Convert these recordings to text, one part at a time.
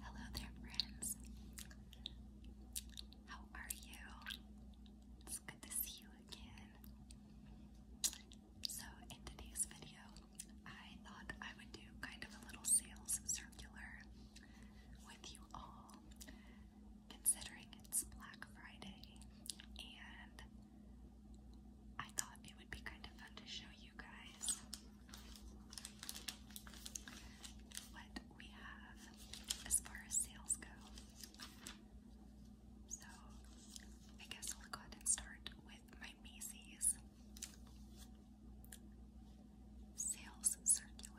Hello there, friends. How are you? It's good to see you again. So, in today's video, I thought I would do kind of a little sales circular with you all, considering it's Black Friday, and I thought it would be kind of fun to show you guys what we have as far as sales go. So, I guess I'll go ahead and start with my Macy's sales circular.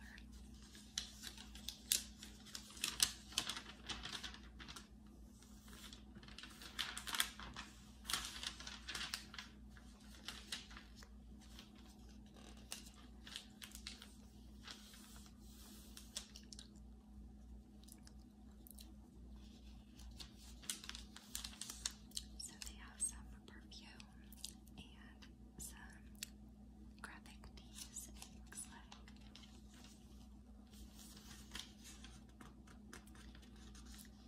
So they have some perfume and some graphic tees,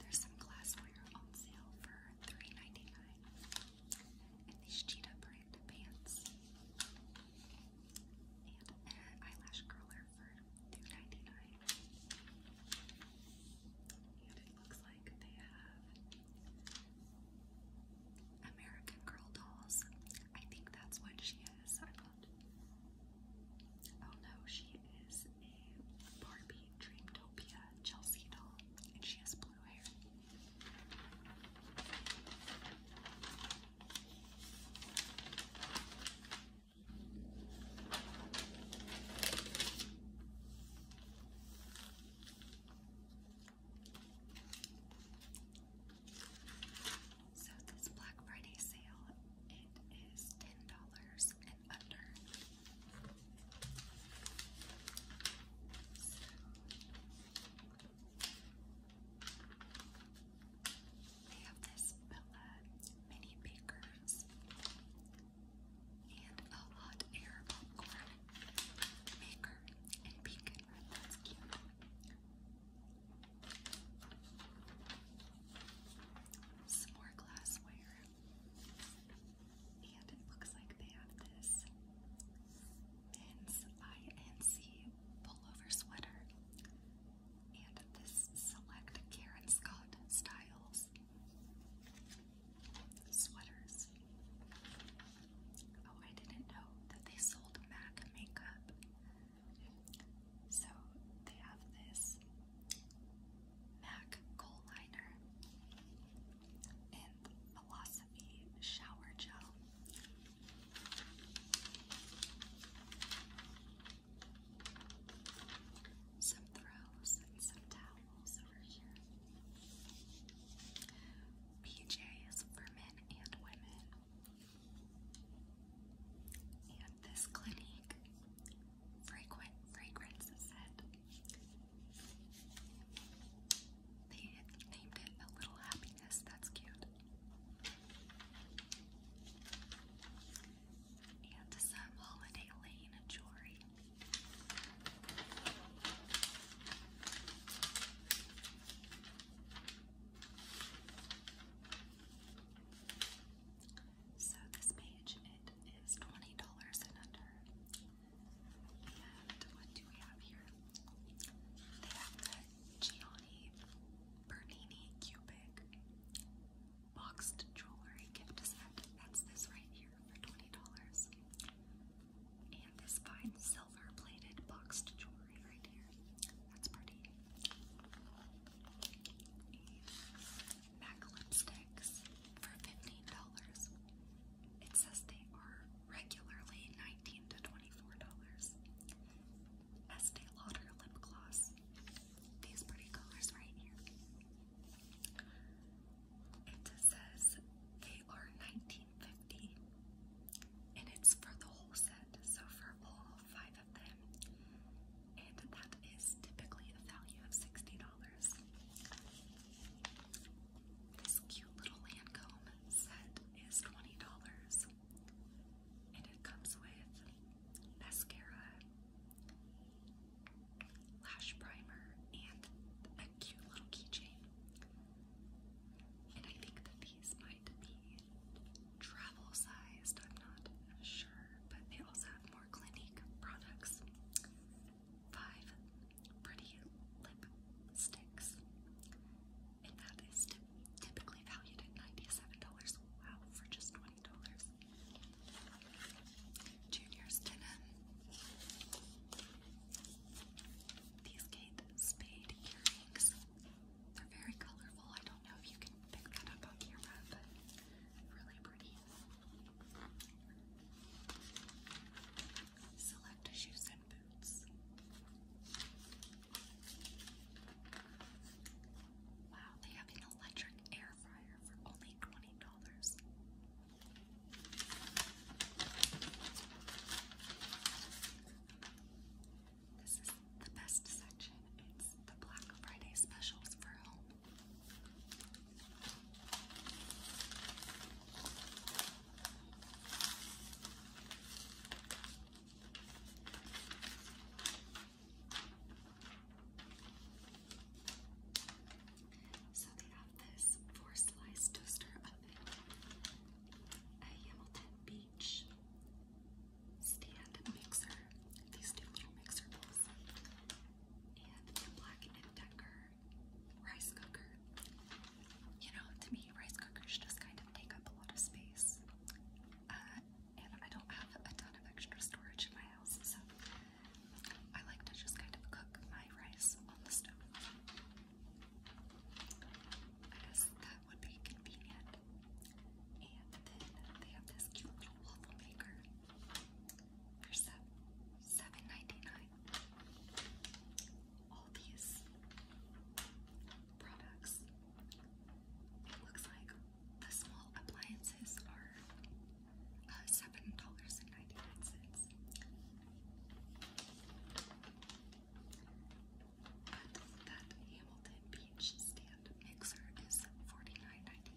there's some glassware on sale for $3.99. And these cheetah print pants. And an eyelash curler for $2.99. And it looks like they have American Girl dolls. I think that's what she is. I thought. Oh no, she is Barbie Dreamtopia Chelsea doll, and she has blue hair. So this Black Friday sale, it is ten dollars six and They have this Bella Mini Bakers and a hot air popcorn maker and beacon. That's cute. Some more glassware. And it looks like they have this men's INC pullover sweater. And this select Karen Scott Styles sweaters. Oh, I didn't know that they sold MAC makeup. So they have this MAC Coal Liner, and Philosophy Shower Gel. Some throws and some towels over here. PJs for men and women. And this Clinique Fragrant Fragrance Set they named it a little happiness. That's cute. And some holiday lane jewelry. So this page, it is $20 and under. And what do we have here? They have the Gianni Bernini Cubic Boxed Jewelry Gift Set. That's this right here for $20. And this fine silver plated boxed jewelry right here. That's pretty. MAC lipsticks for $15. It says they are regularly $19 to $24. Estee Lauder lip gloss. These pretty colors right here. It says they are $19.50 and it's for the whole set, so for all five of them. And that is typically a value of $60. This cute little Lancome set is $20. And it comes with mascara, lash primer, and a cute little keychain. And I think that these might be travel sized, I'm not sure, but they also have more Clinique products five pretty lipsticks, and that is typically valued at ninety-seven dollars. Wow, for just twenty dollars. Junior's denim. These Kate Spade earrings. They're very colorful. I don't know if you can pick that up on camera, but really pretty. Select shoes and boots. Wow, they have an electric air fryer for only twenty dollars. This is the best section. It's the Black Friday specials for home so they have this four slice toaster oven, a Hamilton Beach stand mixer, these two mixer bowls, and the Black and Decker rice cooker. You know, to me, rice cookers just kind of take up a lot of space. Uh, and I don't have a ton of extra storage in my house, so I like to just kind of cook my rice on the stove. I guess that would be convenient. And then they have this cute little waffle maker for 7 all these products. It looks like the small appliances are uh, seven dollars and ninety nine cents. But that Hamilton Beach stand mixer is $49.99.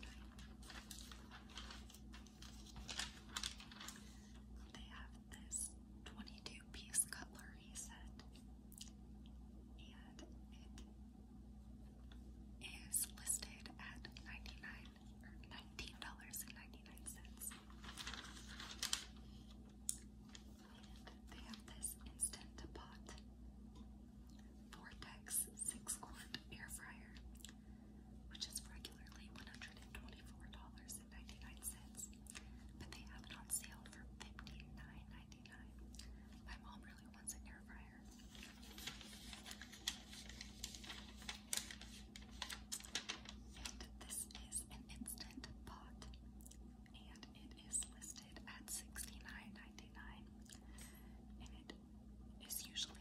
They have this 22 piece cutlery set, and it is listed at 99 or $19.99. they have this instant pot Vortex 6 quart air fryer which is regularly $124.99, but they have it on sale for $59.99. My mom really wants an air fryer. And this is an instant pot, and it is listed at $69.99, and it is usually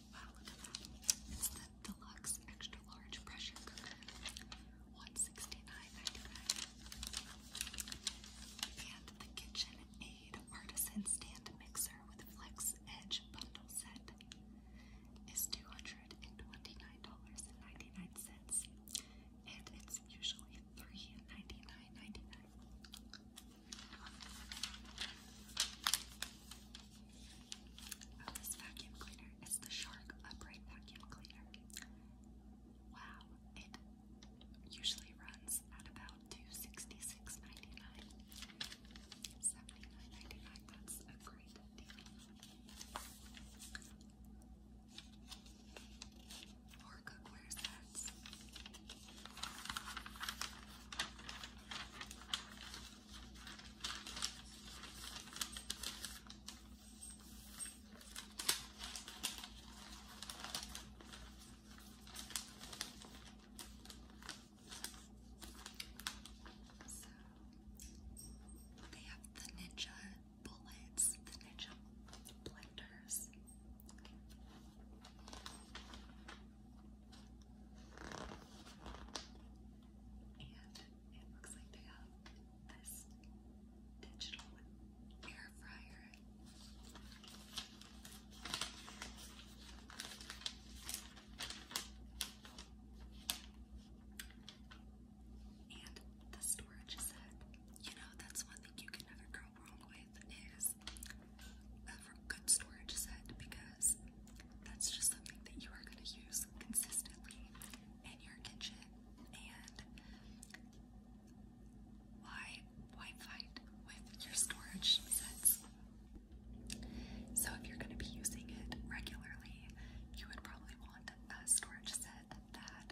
Wow, It's the deluxe extra large pressure cooker. 169 And the Kitchen Artisan Stand Mixer with Flex Edge Bundle Set is $229.99. And it's usually 399 Oh, this vacuum cleaner. It's the Shark Upright Vacuum Cleaner. Wow, it usually runs at about $266.99. $79.99, that's a great deal. Or cookware sets. So they have the ninja bullets, the ninja blenders. And it looks like they have this digital air fryer. And the storage set. You know, that's one thing you can never go wrong with is a good storage set because that's just something that you are going to use consistently in your kitchen. And why why fight with your storage sets? So if you're going to be using it regularly, you would probably want a storage set that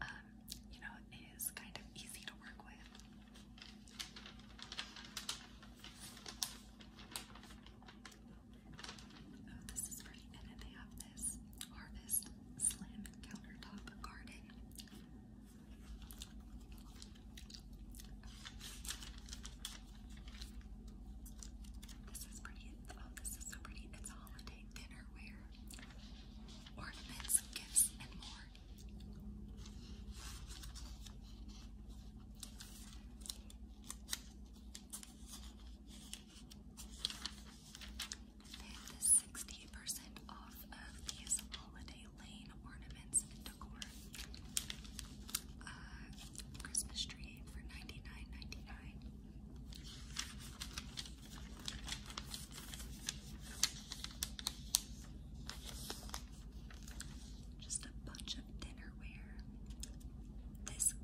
um, you know is kind of easy to work with. Oh, this is great. And they have this Harvest Slim Countertop Garden. This is pretty. Oh, this is so pretty. It's holiday dinnerware, ornaments, gifts, and more. Then 60% off of these holiday lane ornaments and decor. Uh, Christmas tree for 99 just a bunch of dinnerware. This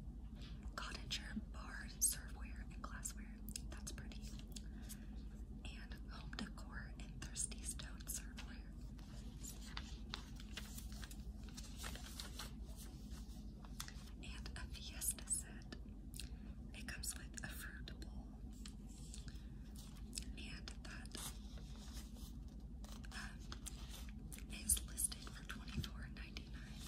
cottager bar serveware and glassware. That's pretty. And home decor and thirsty stone serveware. And a fiesta set. It comes with a fruit bowl, and that um, listed for twenty four ninety nine.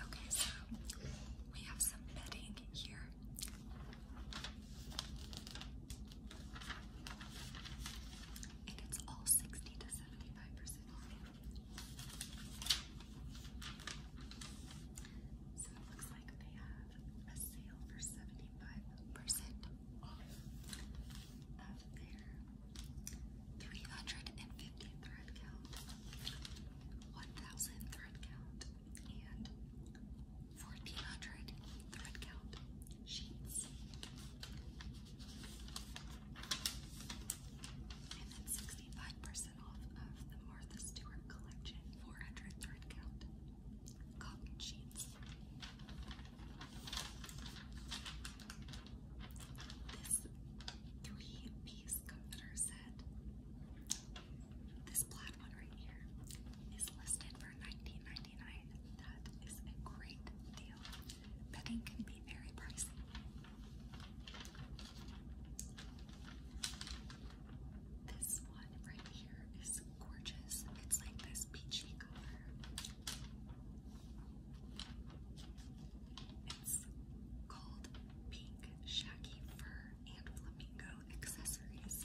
Okay, so we have some bedding here. And it's all 60 to 75% off. So it looks like they have a sale for 75% off of 350 thread count, 1000 thread count, and 1400 thread count sheets. And then 65% off of the Martha Stewart collection, 400 thread count cotton sheets. This three-piece comforter set, this plaid one right here, is listed for 99 that is a great deal. Bedding can be very pricey. This one right here is gorgeous. It's like this peachy color. It's called Pink Shaggy Fur and Flamingo Accessories.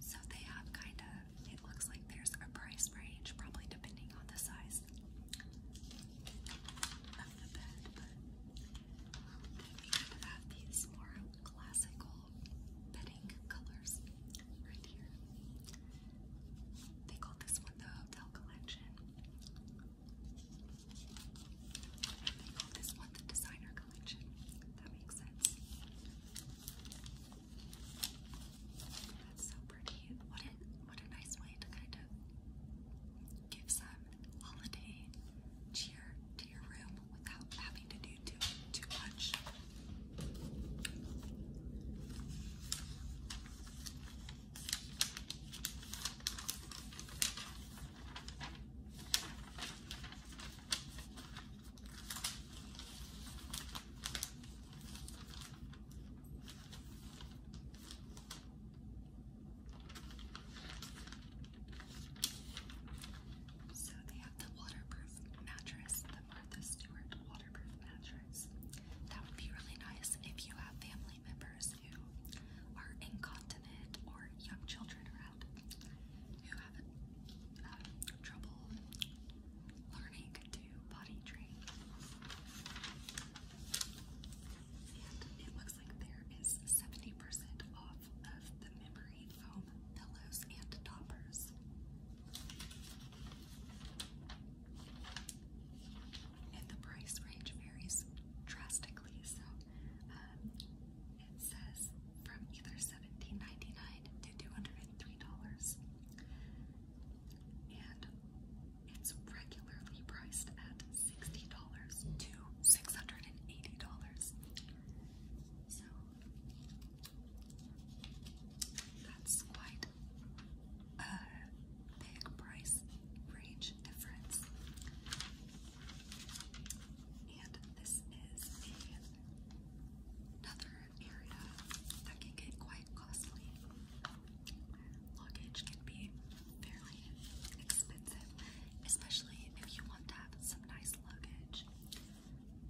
So they have kind of, it looks like there's a price range, probably depending on the size of the bed, but you have these more classical bedding colors right here. They called this one the Hotel Collection. they called this one the Designer Collection. That makes sense. That's so pretty. What a, what a nice way to kind of give some holiday cheer to your room without having to do too, too much. So they have the waterproof mattress, the Martha Stewart waterproof mattress. That would be really nice if you have family members who are incontinent or young children around who have um, trouble learning to potty train. it looks like there is 70% off of the memory foam pillows and toppers and the price range varies drastically. So uh, it says from either $17.99 to $203. And it's regularly priced at $60 to $680. So that's quite a price range difference. And this is another area that can get quite costly. Luggage can be fairly expensive, especially if you want to have some nice luggage.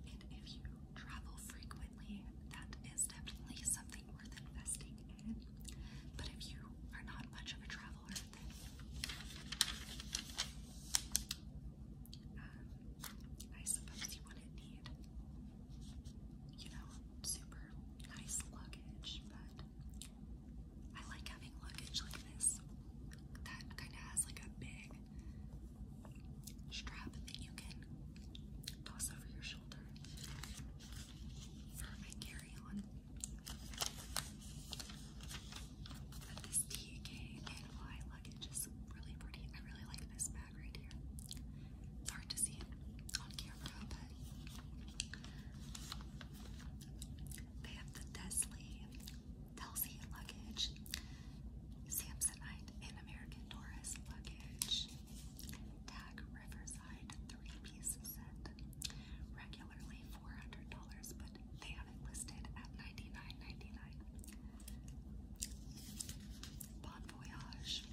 And if you travel frequently, that is definitely something worth investing but if you are not much of a traveler, um, I suppose you wouldn't need, you know, super nice luggage. But I like having luggage like this that kind of has like a big strap that you can toss over your shoulder for my carry-on. But this TK and luggage is really pretty. I really like this bag right here. hard to see it on camera, but they have the Desley, Delzy luggage, Samsonite, and American Taurus luggage. Tag Riverside three-piece set. Regularly $400, but they have it listed at $99.99. Bon Voyage.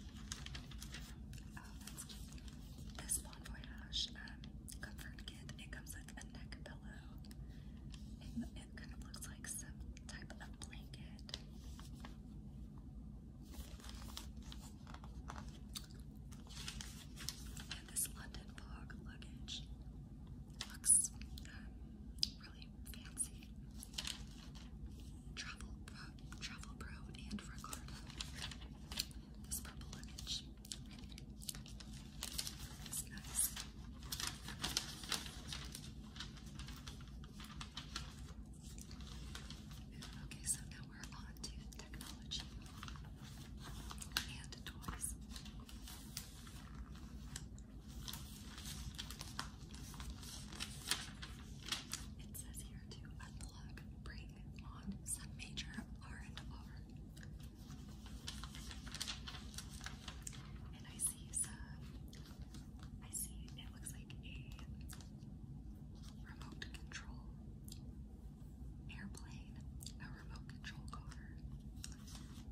Oh, that's cute. This Bon Voyage um, comfort kit, it comes with a neck pillow. And it kind of looks like some type of blanket. And this London Bog luggage looks um, really fancy. Travel Travel Pro and Ricardo. This purple luggage is nice. Okay, so now we're on technology and toys. It says here to unplug, bring on some major R and R. And I see I see it looks like a remote control airplane, a remote control car.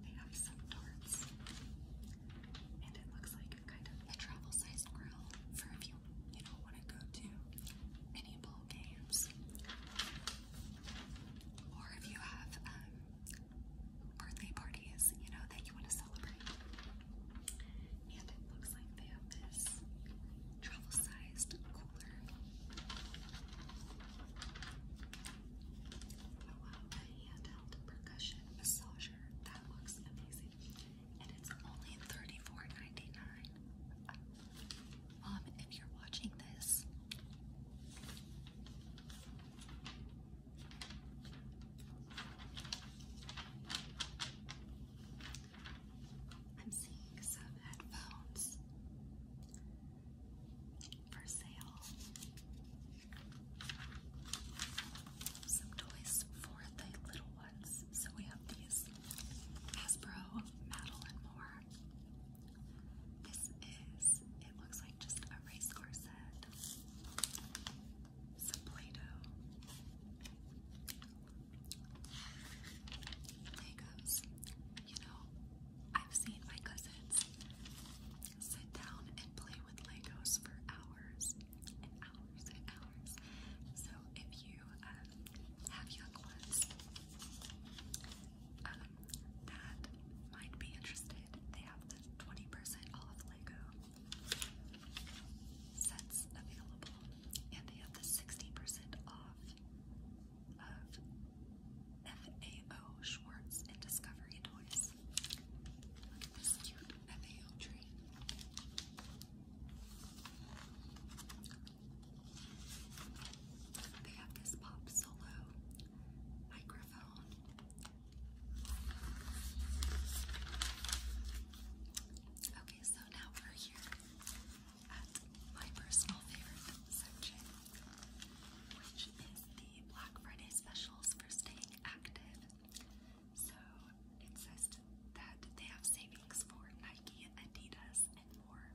They have some darts. And it looks like a kind of a travel sized grill for if you, you know, want to go to any ball games. Or if you have um, birthday parties, you know, that you want to celebrate. And it looks like they have this travel sized cooler. Oh wow, a percussion massager. That looks amazing. And it's only 34 Mom, um, if you're watching this, I'm seeing some headphones for sale. Some toys for the little ones. So we have these Hasbro Madeline Moore. This is, it looks like just a race set. Some Play Doh. There You know, I've seen my cousins sit down and play with Legos for hours and hours and hours. So if you um, have young ones um, that might be interested, they have the 20% off Lego sets available and they have the 60% off of FAO Schwartz and Discovery toys. Look at this cute FAO tree. They have this pop solo microphone. Okay, so now we're here at my personal favorite section, which is the Black Friday specials for staying active. So it says that they have savings for Nike, Adidas, and more.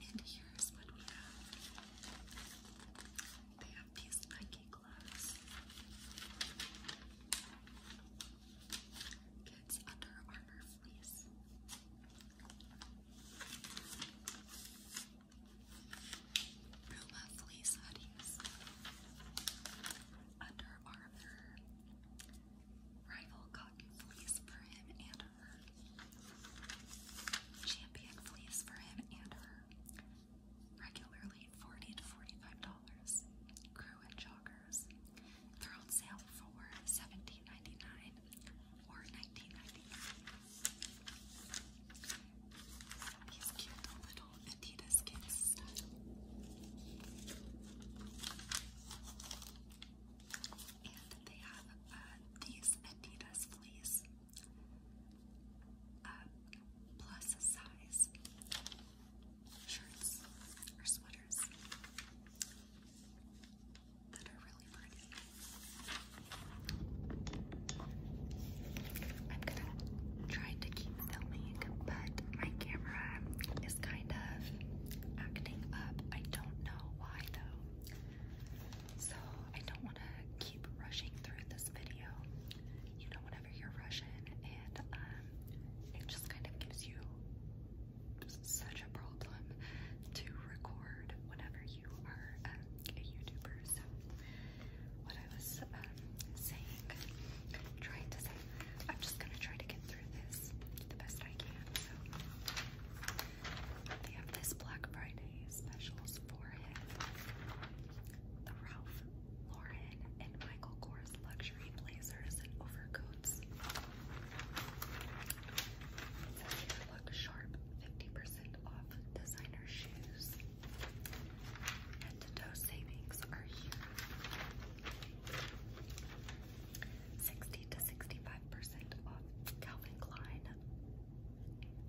And here's what we have. They have these Nike gloves. Kids Under Armour Fleece. Puma Fleece Hoodies. Under Armour. Rival Cotton Fleece for him and her. Champion Fleece for him and her. Regularly $40 to $45. Crew and joggers. They're on sale for $17.99 or 19 These cute little Adidas kids stuff. And they have uh, these Adidas fleece. Uh, plus size shirts or sweaters that are really pretty. I'm gonna try to keep filming, but my camera is kind of acting up. I don't know why though. So I don't want to keep rushing through this video. You know, whenever you're rushing, and um, it just kind of gives you such a problem to record whenever you are um, a YouTuber. So, what I was um, saying, trying to say, I'm just gonna try to get through this the best I can. So, they have this Black Friday specials for him. The Ralph Lauren and Michael Kors luxury blazers and overcoats. So here, look sharp, 50% off designer shoes. And the toe savings are here. 60 to 65% off Calvin Klein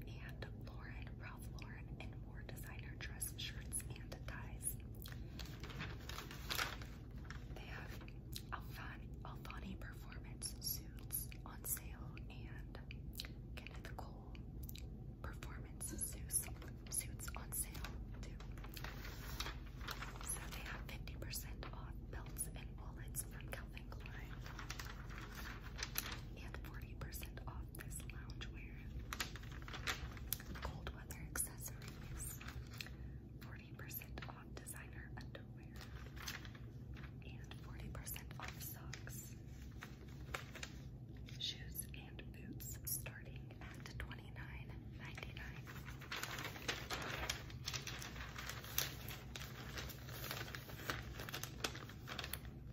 and Lauren, Ralph Lauren, and more designer dress shirts and ties. They have Alfani, Alfani performance suits on sale and Kenneth Cole performance suits, suits on sale too. So they have 50% off belts and wallets from Calvin Klein and 40% off this loungewear. Cold weather accessories. 40% 40% off designer underwear and 40% off socks, shoes, and boots starting at $29.99.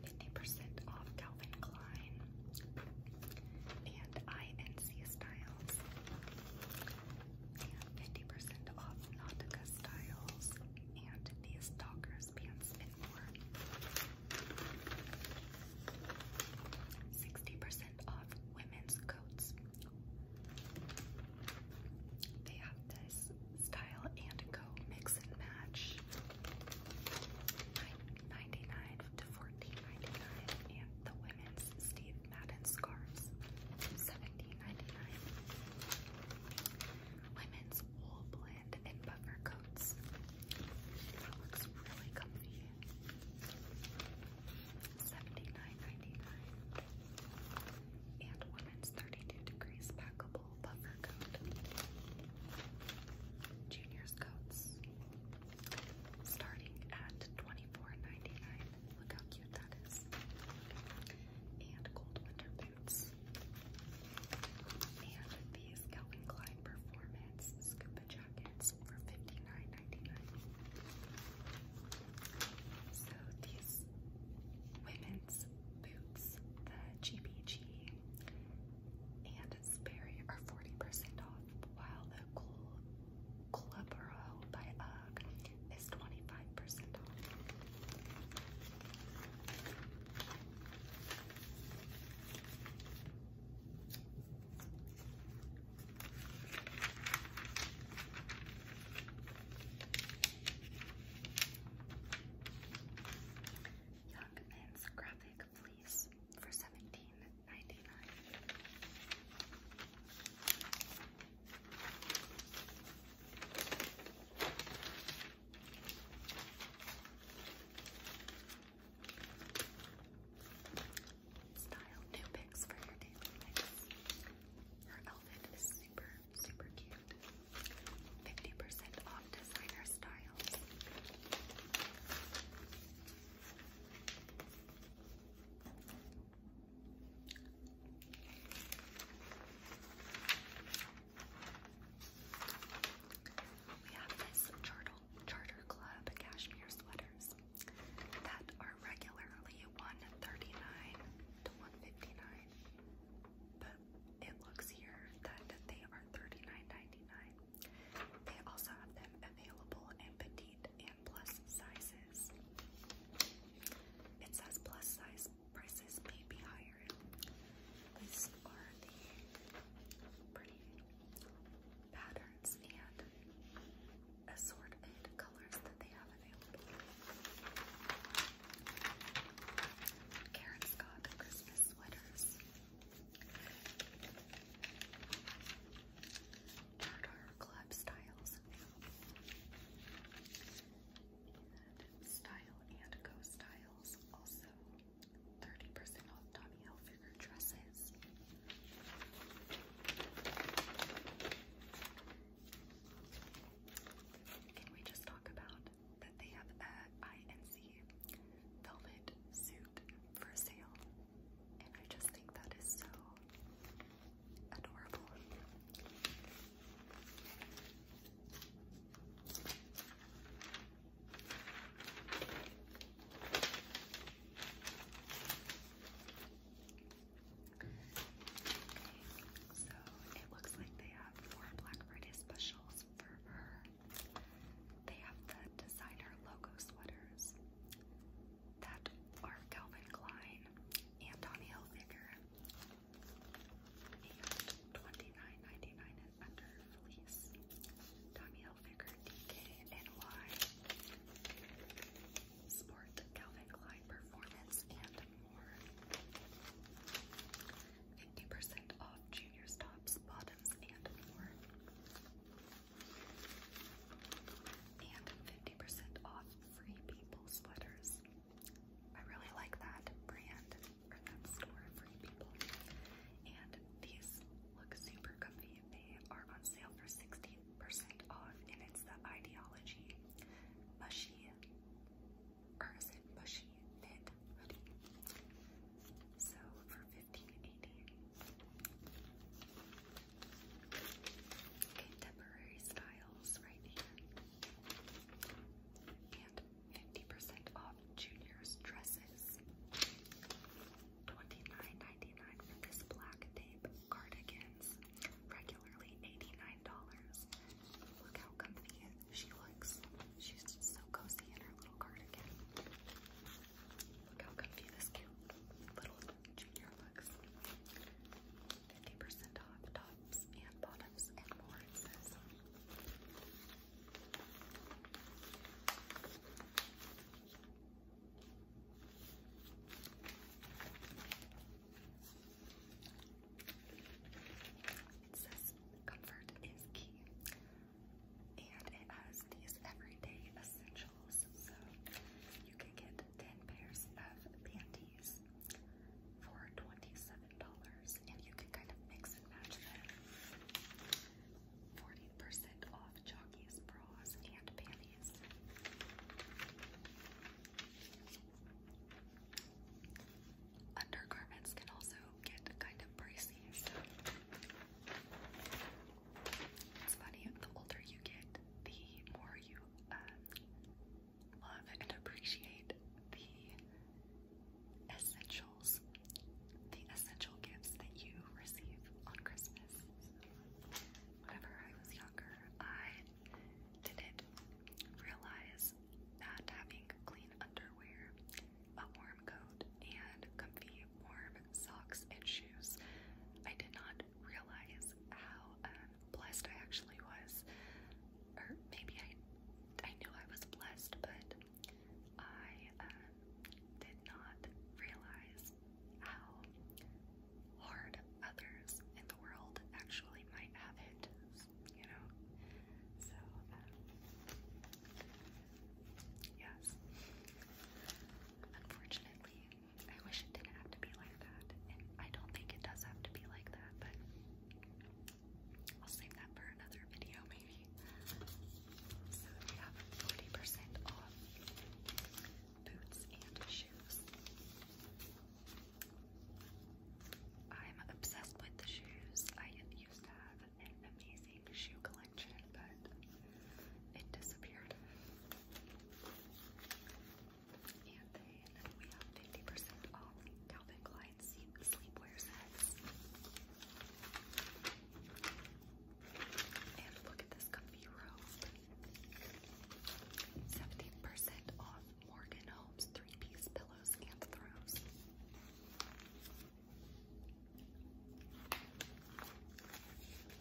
Fifty percent off Calvin Klein and INC styles. 50% off Nautica styles and these stalkers pants and more. 60% off women's coats. They have this style and go mix and match. $9.99 to $14.99 and the women's Steve Madden scarves, $17.99. Women's wool blend and buffer coats. That looks really comfy. $79.99. And women's 32 degrees packable buffer coat. Junior's coats starting at $24.99. Look how cute that is. And cold winter boots. And these Calvin Klein Performance Scuba jackets for $59.99. So these women's boots, the GBG and Sperry, are 40% off, while the Cole Clubro by UGG is 25% off. Young Men's Graphic Fleece for 17 Style new picks for your daily Her outfit is super, super cute. 50% off designer styles. We have this Charter, Charter Club cashmere sweaters that are regularly 139 to 159 but it looks here that they are 39 They also have them available in petite height and plus sizes. It says plus size prices may be higher. These are the pretty patterns and assorted colors that they have available. Karen's got Christmas sweaters. Murder club styles and Style and Go Styles also 30 off Tommy Hilfiger dresses. Can we just talk about that they have a INC velvet suit for sale? And I just think that is so so it looks like they have four Black Friday specials for her. They have the designer logo sweaters, that are Calvin Klein and Tommy Hilfiger, and $29.99 and under fleece. Tommy Hilfiger DKNY Sport Calvin Klein Performance and more. 50% off juniors tops, bottoms, and more. And 50% off free people sweaters. I really like that brand or that store, Free People. And these look super comfy. They are on sale for 60% off, and it's the Ideology Mushy, or is it Mushy Knit Hoodie? So for $15.80. Contemporary styles right here. And 50% off juniors dresses. $29.99 for this black tape cardigans. Regularly $89. Look how comfy she looks. She's so cozy in her little cardigan. Look how comfy this cute little 50% off tops and bottoms and more, It says comfort is key. And it has these everyday essentials. So you can get ten pairs of panties for twenty-seven dollars, and you can kind of mix and match them. Forty percent off jockeys, bras, and panties. Undergarments can also get kind of pricey. So. It's funny, the older you get, the more you um, love and appreciate the essentials, the essential gifts that you receive on Christmas. Whenever I was younger, I didn't realize that having clean underwear, a warm coat, and comfy warm socks and shoes, I did not didn't realize how um, blessed I actually was, or maybe I I knew I was blessed, but I um, did not realize how hard others in the world actually might have it, you know. So um, yes, unfortunately, I wish it didn't have to be like that, and I don't think it does have to be like that, but I'll save that for another video maybe. So we have 40% off boots and shoes. I'm obsessed with the shoes. I used to have an amazing shoe collection, but it disappeared. And then we have 50% off Calvin Klein sleep sleepwear sets. And look at this comfy robe. 70% off Morgan Homes three-piece pillows and throws and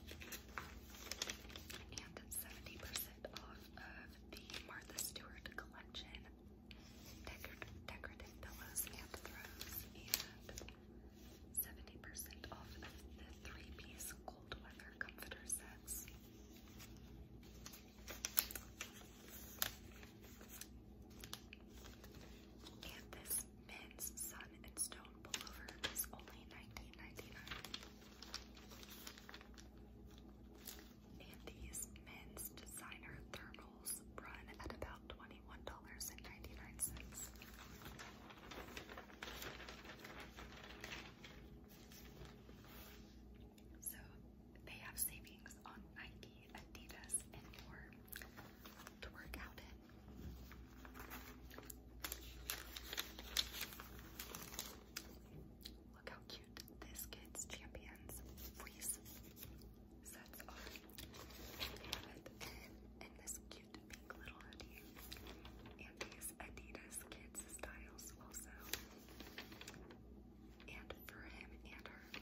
70% off of the Martha Stewart collection Decor decorative pillows and throws, and 70% off of the three-piece cold weather comforter sets. And this men's sun and stone pullover is only $19.99. And these men's designer thermals run at about $21.99. So they have savings on Nike, Adidas, and more to work out in. Look how cute this kid's champions freeze sets are. and this cute pink little hoodie. And these Adidas kids styles also. And for him and her.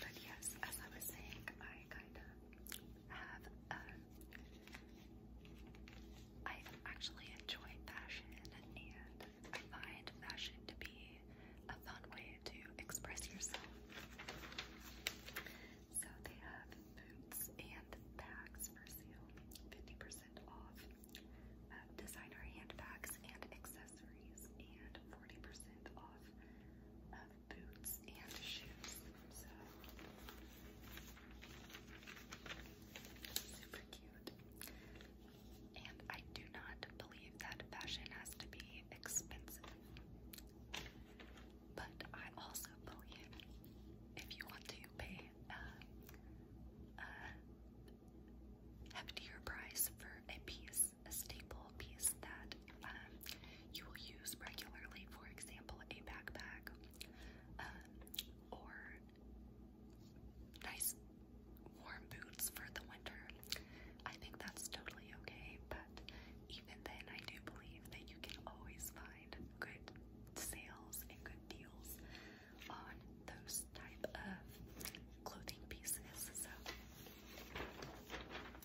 But yes, as I was saying, I kind of have um, I actually enjoy fashion and I find fashion to be a fun way to express yourself. So they have boots and bags for sale, 50% off, uh, designer handbags and accessories, and 40% off of boots and shoes. So super cute. And I do not believe that fashion has to be expensive. But I also believe if you want to pay a, uh, a uh, heftier price for a piece, a staple piece that um, you will use regularly, for example, a backpack um, or nice warm boots for the winter. I think that's totally okay, but even then, I do believe that you can always find good sales and good deals on those type of clothing pieces. So so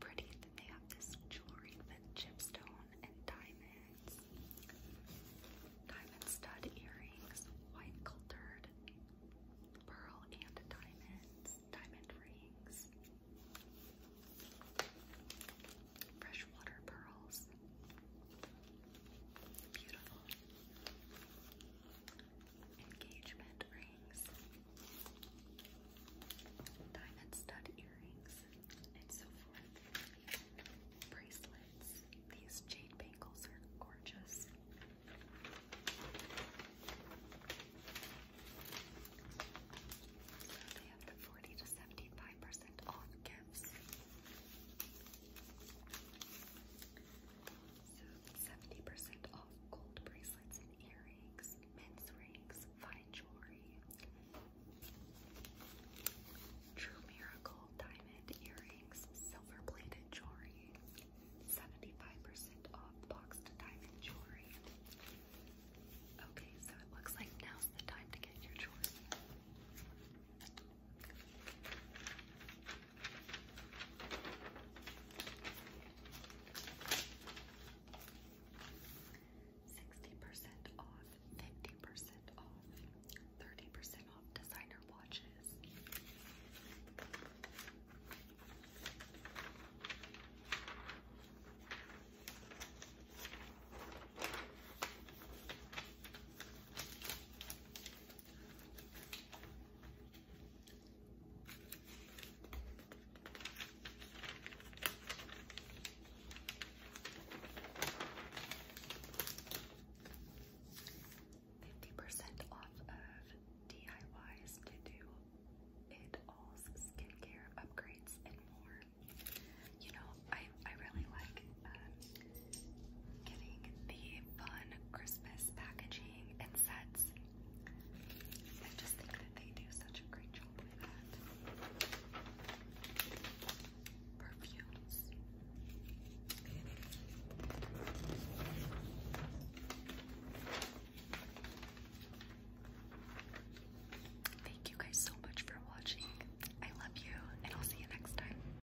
pretty. they have this jewelry with chipstone and diamonds. Diamond stud earrings, white cultured pearl and diamonds, diamond rings. Freshwater pearls, Beautiful. Engagement rings. Diamond stud earrings and so forth. Bracelets. These jade bangles are gorgeous. they have the 40 to 75% off gifts. So 70% off gold bracelets and earrings, men's rings, fine jewelry. True Miracle diamond earrings, silver plated jewelry. 75% off boxed diamond jewelry. Okay, so it looks like now's the time to get your jewelry. Sixty percent off, fifty percent off, thirty percent off designer watches. 50% off of DIYs to do it all's skincare upgrades and more. You know, I I really like um getting the fun Christmas packaging and sets. I just think that they do such a great job with that. Perfumes. Thank you guys so much for watching. I love you, and I'll see you next time.